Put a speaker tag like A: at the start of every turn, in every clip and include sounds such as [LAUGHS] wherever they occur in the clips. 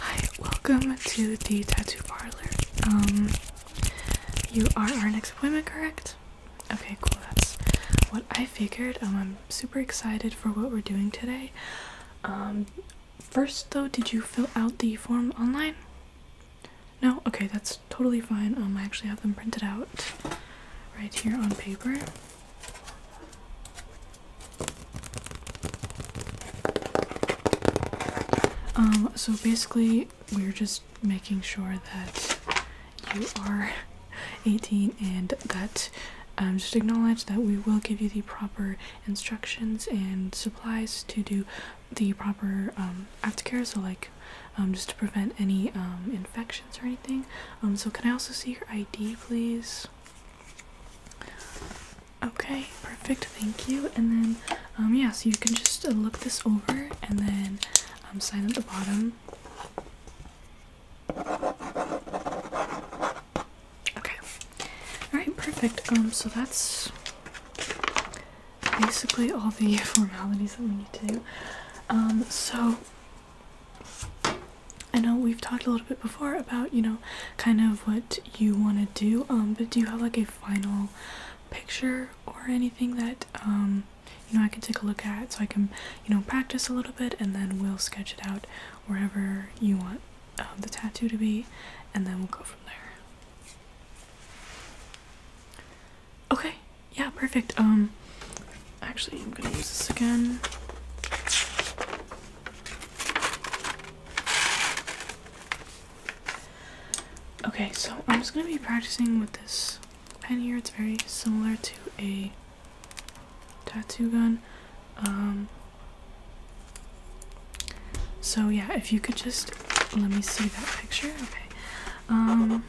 A: Hi, welcome to the tattoo parlor. Um, you are our next appointment, correct? Okay, cool. That's what I figured. Um, I'm super excited for what we're doing today. Um, first though, did you fill out the form online? No? Okay, that's totally fine. Um, I actually have them printed out right here on paper. Um, so basically, we're just making sure that you are [LAUGHS] 18 and that um, just acknowledge that we will give you the proper instructions and supplies to do the proper um, aftercare, so like um, just to prevent any um, infection or anything. Um, so can I also see your ID, please? Okay, perfect. Thank you. And then, um, yeah, so you can just uh, look this over and then um, sign at the bottom. Okay. Alright, perfect. Um, so that's basically all the [LAUGHS] formalities that we need to do. Um, so I know we've talked a little bit before about, you know, kind of what you want to do, um, but do you have like a final picture or anything that, um, you know, I can take a look at so I can, you know, practice a little bit and then we'll sketch it out wherever you want um, the tattoo to be and then we'll go from there. Okay, yeah, perfect. Um, actually, I'm gonna use this again. Okay, so I'm just gonna be practicing with this pen here. It's very similar to a tattoo gun. Um, so yeah, if you could just let me see that picture. Okay, um,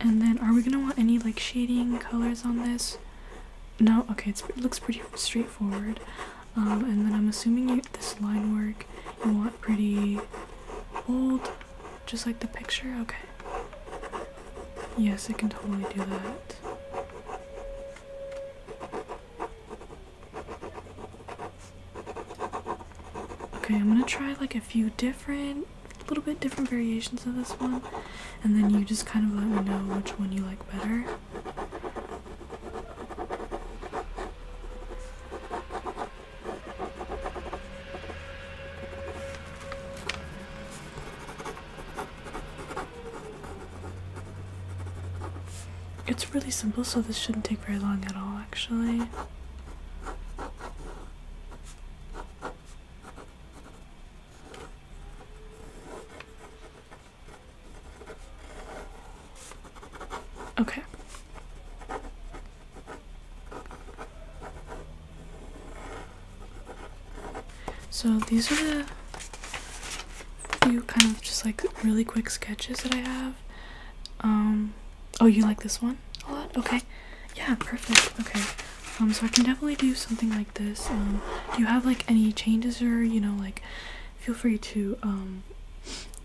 A: and then are we gonna want any like shading colors on this? No. Okay, it looks pretty straightforward. Um, and then I'm assuming you this line work you want pretty bold, just like the picture. Okay. Yes, I can totally do that. Okay, I'm gonna try like a few different little bit different variations of this one, and then you just kind of let me know which one you like better. It's really simple, so this shouldn't take very long at all, actually. Okay. So these are the few kind of just like really quick sketches that I have. Um, oh, you like this one a lot? Okay. Yeah, perfect. Okay um so i can definitely do something like this um do you have like any changes or you know like feel free to um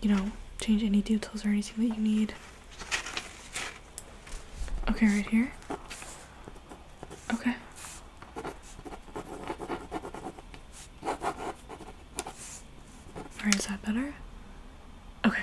A: you know change any details or anything that you need okay right here okay Alright, is that better okay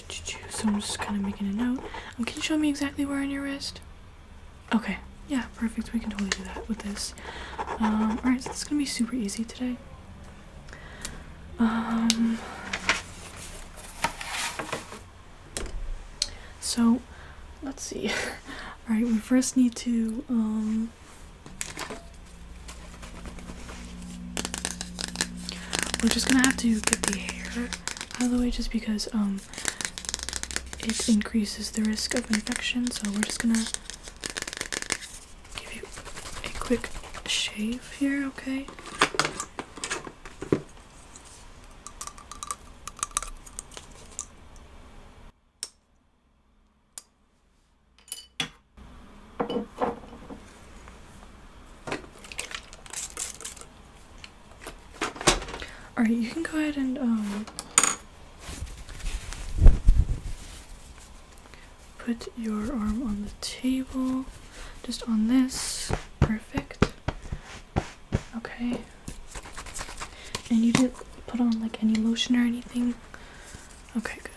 A: so I'm just kind of making a note. Um, can you show me exactly where on your wrist? Okay. Yeah, perfect. We can totally do that with this. Um, alright, so this is going to be super easy today. Um, so, let's see. [LAUGHS] Alright, we first need to... we're just going to have to get the hair out of the way just because um it increases the risk of infection. So we're just gonna give you a quick shave here, okay? Alright, you can go ahead and um put your arm on the table. Just on this. Perfect. Okay. And you didn't put on like any lotion or anything? Okay, good.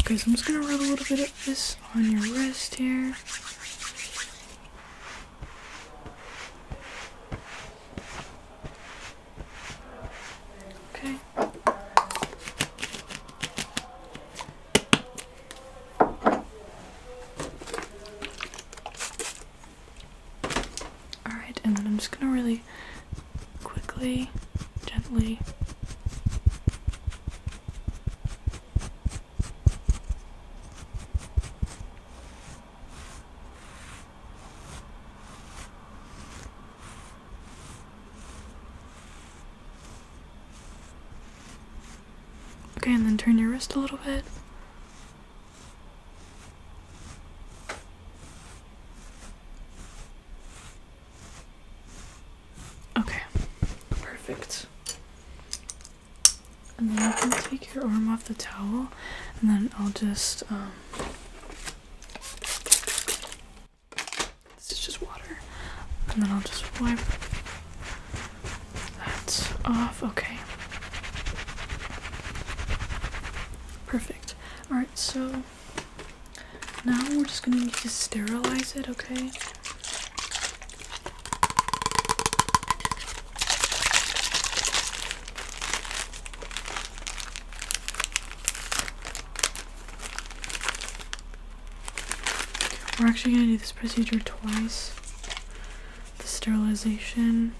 A: Okay, so I'm just gonna rub a little bit of this on your wrist here. Okay. Alright, and then I'm just gonna really quickly, gently Okay, and then turn your wrist a little bit. Okay, perfect. And then you can take your arm off the towel, and then I'll just, um, this is just water. And then I'll just wipe that off. Okay. Perfect. Alright, so now we're just gonna need to sterilize it, okay? We're actually gonna do this procedure twice. The sterilization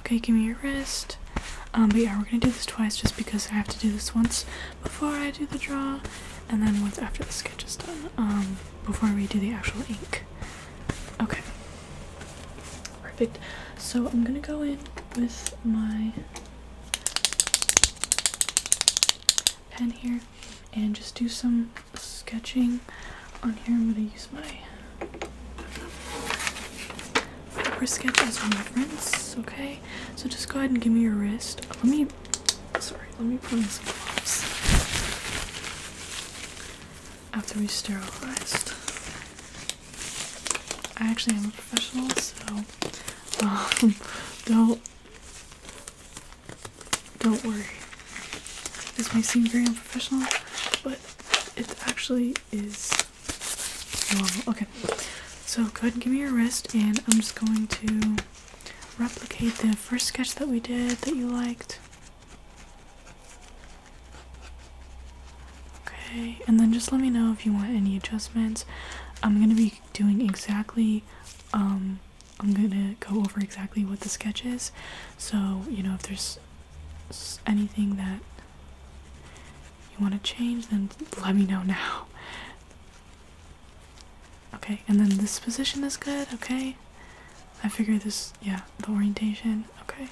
A: Okay, give me your wrist. Um, but yeah, we're gonna do this twice just because I have to do this once before I do the draw, and then once after the sketch is done, um, before we do the actual ink. Okay. Perfect. So I'm gonna go in with my pen here and just do some sketching on here. I'm going to use my paper sketch as reference, okay? So just go ahead and give me your wrist. Let me, sorry, let me put on some gloves after we sterilized. I actually am a professional, so [LAUGHS] um, don't don't worry. This may seem very unprofessional, but it actually is normal. Okay, so go ahead and give me your wrist, and I'm just going to replicate the first sketch that we did that you liked. Okay, and then just let me know if you want any adjustments. I'm gonna be doing exactly um, i'm gonna go over exactly what the sketch is so you know if there's anything that you want to change then let me know now okay and then this position is good okay i figure this yeah the orientation okay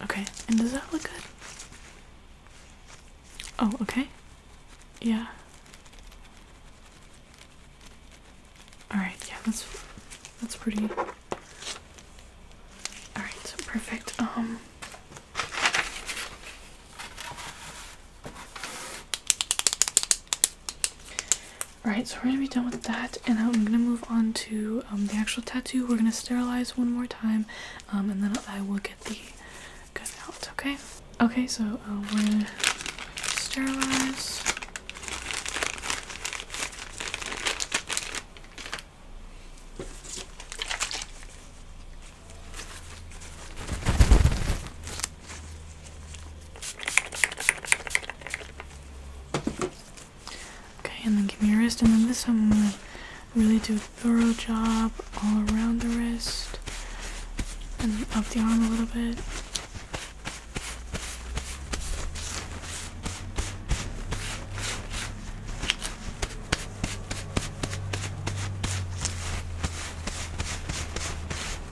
A: Okay, and does that look good? Oh, okay. Yeah. Alright, yeah, that's that's pretty Alright, perfect. Um Right, so we're gonna be done with that, and I'm gonna move on to um, the actual tattoo. We're gonna sterilize one more time, um, and then I will get the gun out. Okay. Okay, so uh, we're gonna sterilize. Okay, and then give me your wrist, and then this time I'm gonna really do a thorough job all around the wrist, and up the arm a little bit.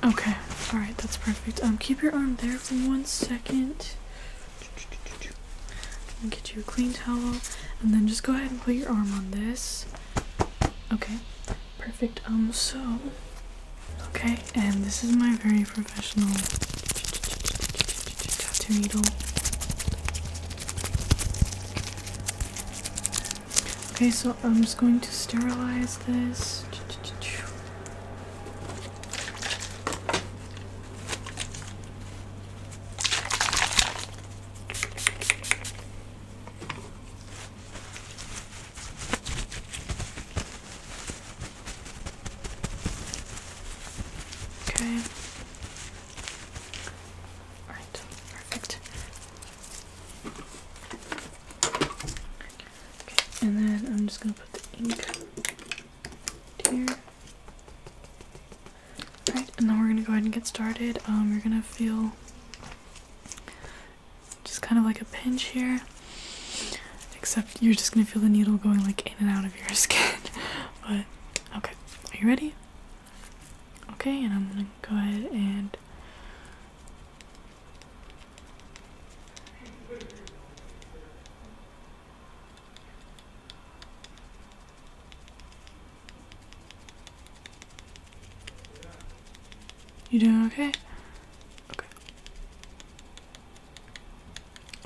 A: Okay, alright, that's perfect. Um, keep your arm there for one second. And get you a clean towel. And then just go ahead and put your arm on this. Okay, perfect. Um, so. Okay, and this is my very professional tattoo needle. Okay, so I'm just going to sterilize this. Okay perfect. Okay, and then I'm just gonna put the ink here. Alright, and then we're gonna go ahead and get started. Um, you're gonna feel just kind of like a pinch here, except you're just gonna feel the needle going like in and out of your [LAUGHS] skin. But okay, are you ready? Okay, and I'm gonna go ahead and You doing okay? Okay.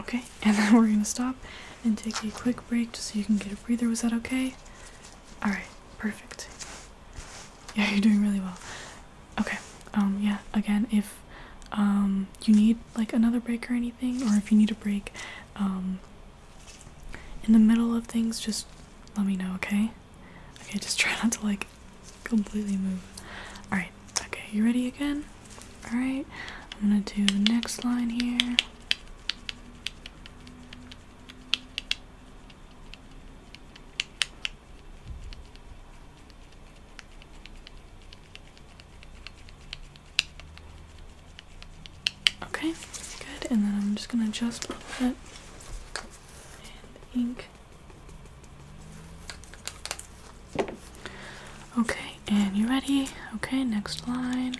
A: Okay, [LAUGHS] and then we're gonna stop and take a quick break just so you can get a breather. Was that okay? Alright. Perfect. Yeah, you're doing really well. Okay. Um yeah, again if um you need like another break or anything or if you need a break um in the middle of things just let me know, okay? Okay, just [LAUGHS] try not to like completely move. Alright, okay, you ready again? Alright, I'm gonna do the next line here. Okay, good. And then I'm just gonna adjust a little bit and ink. Okay, and you ready? Okay, next line.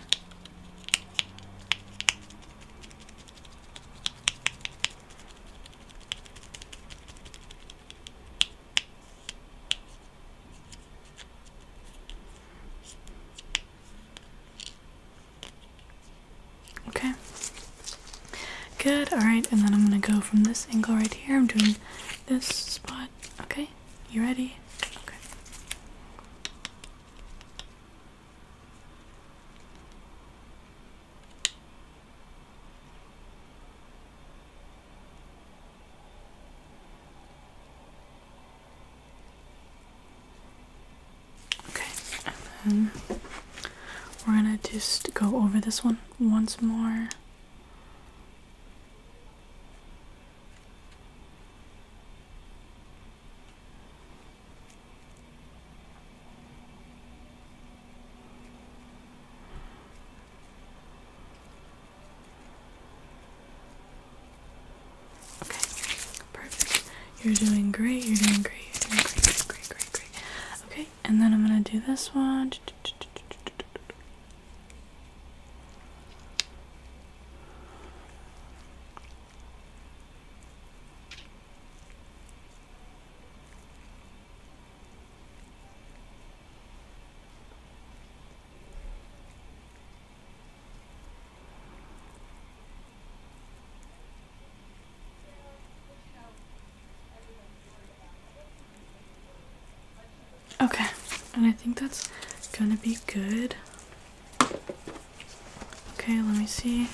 A: Okay. Good. All right, and then I'm gonna go from this angle right here. I'm doing this spot. Okay. You ready? Okay. Okay, and then we're gonna just go over this one once more. Okay, perfect. You're doing great, you're doing great, you're doing great, great, great, great, great. Okay, and then I'm gonna do this one. Okay, and I think that's gonna be good. Okay, let me see.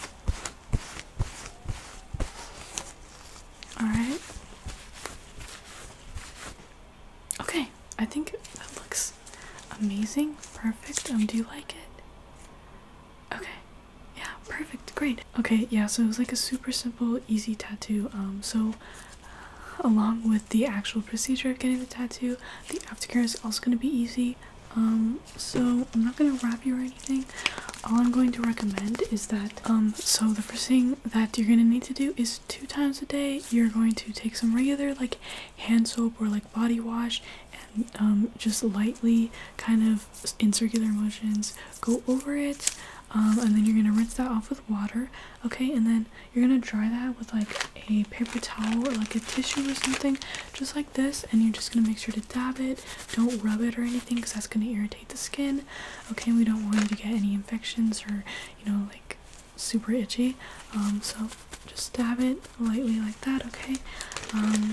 A: Alright. Okay, I think that looks amazing. Perfect. Um, do you like it? Okay. Yeah, perfect. Great. Okay, yeah, so it was like a super simple, easy tattoo. Um, so along with the actual procedure of getting the tattoo, the aftercare is also going to be easy. Um, so I'm not gonna wrap you or anything. All I'm going to recommend is that, um, so the first thing that you're gonna need to do is two times a day, you're going to take some regular, like, hand soap or, like, body wash and, um, just lightly kind of in circular motions go over it. Um, and then you're gonna rinse that off with water, okay? And then you're gonna dry that with, like, a paper towel or like a tissue or something just like this and you're just gonna make sure to dab it don't rub it or anything because that's gonna irritate the skin okay we don't want you to get any infections or you know like super itchy um, so just dab it lightly like that okay um,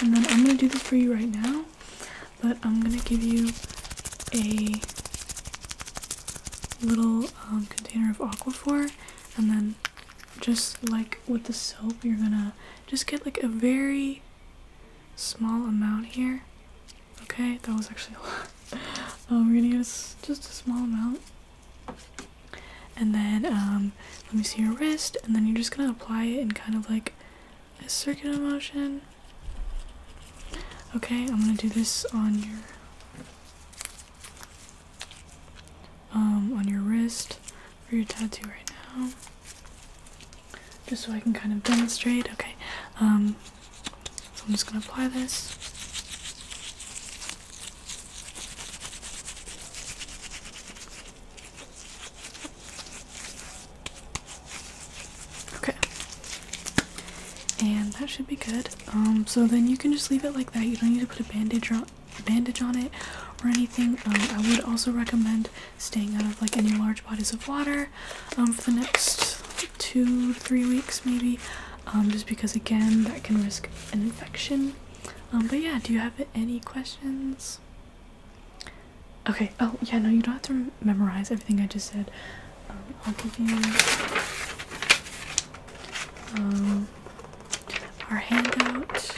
A: and then i'm gonna do this for you right now but i'm gonna give you a little um, container of aquaphor and then just like with the soap, you're gonna just get like a very small amount here. Okay, that was actually a lot. [LAUGHS] Um, we're gonna get just a small amount. And then, um, let me see your wrist, and then you're just gonna apply it in kind of like a circular motion. Okay, I'm gonna do this on your um, on your wrist for your tattoo right now. Just so I can kind of demonstrate. Okay, um, so I'm just gonna apply this. Okay, and that should be good. Um, so then you can just leave it like that. You don't need to put a bandage on bandage on it or anything. Um, I would also recommend staying out of like any large bodies of water um, for the next two, three weeks maybe, um, just because again that can risk an infection. but yeah, do you have any questions? Okay. Oh yeah, no, you don't have to memorize everything I just said. I'll give you our handout.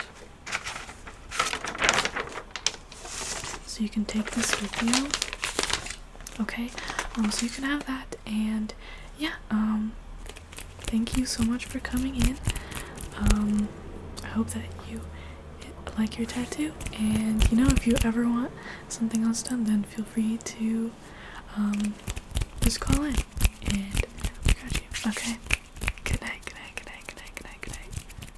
A: So you can take this with you. Okay, um, so you can have that, and yeah, um, thank you so much for coming in. Um, I hope that you like your tattoo, and you know, if you ever want something else done, then feel free to just call in and we got you. Okay. Good night, good night, good night, good night, good night, good night.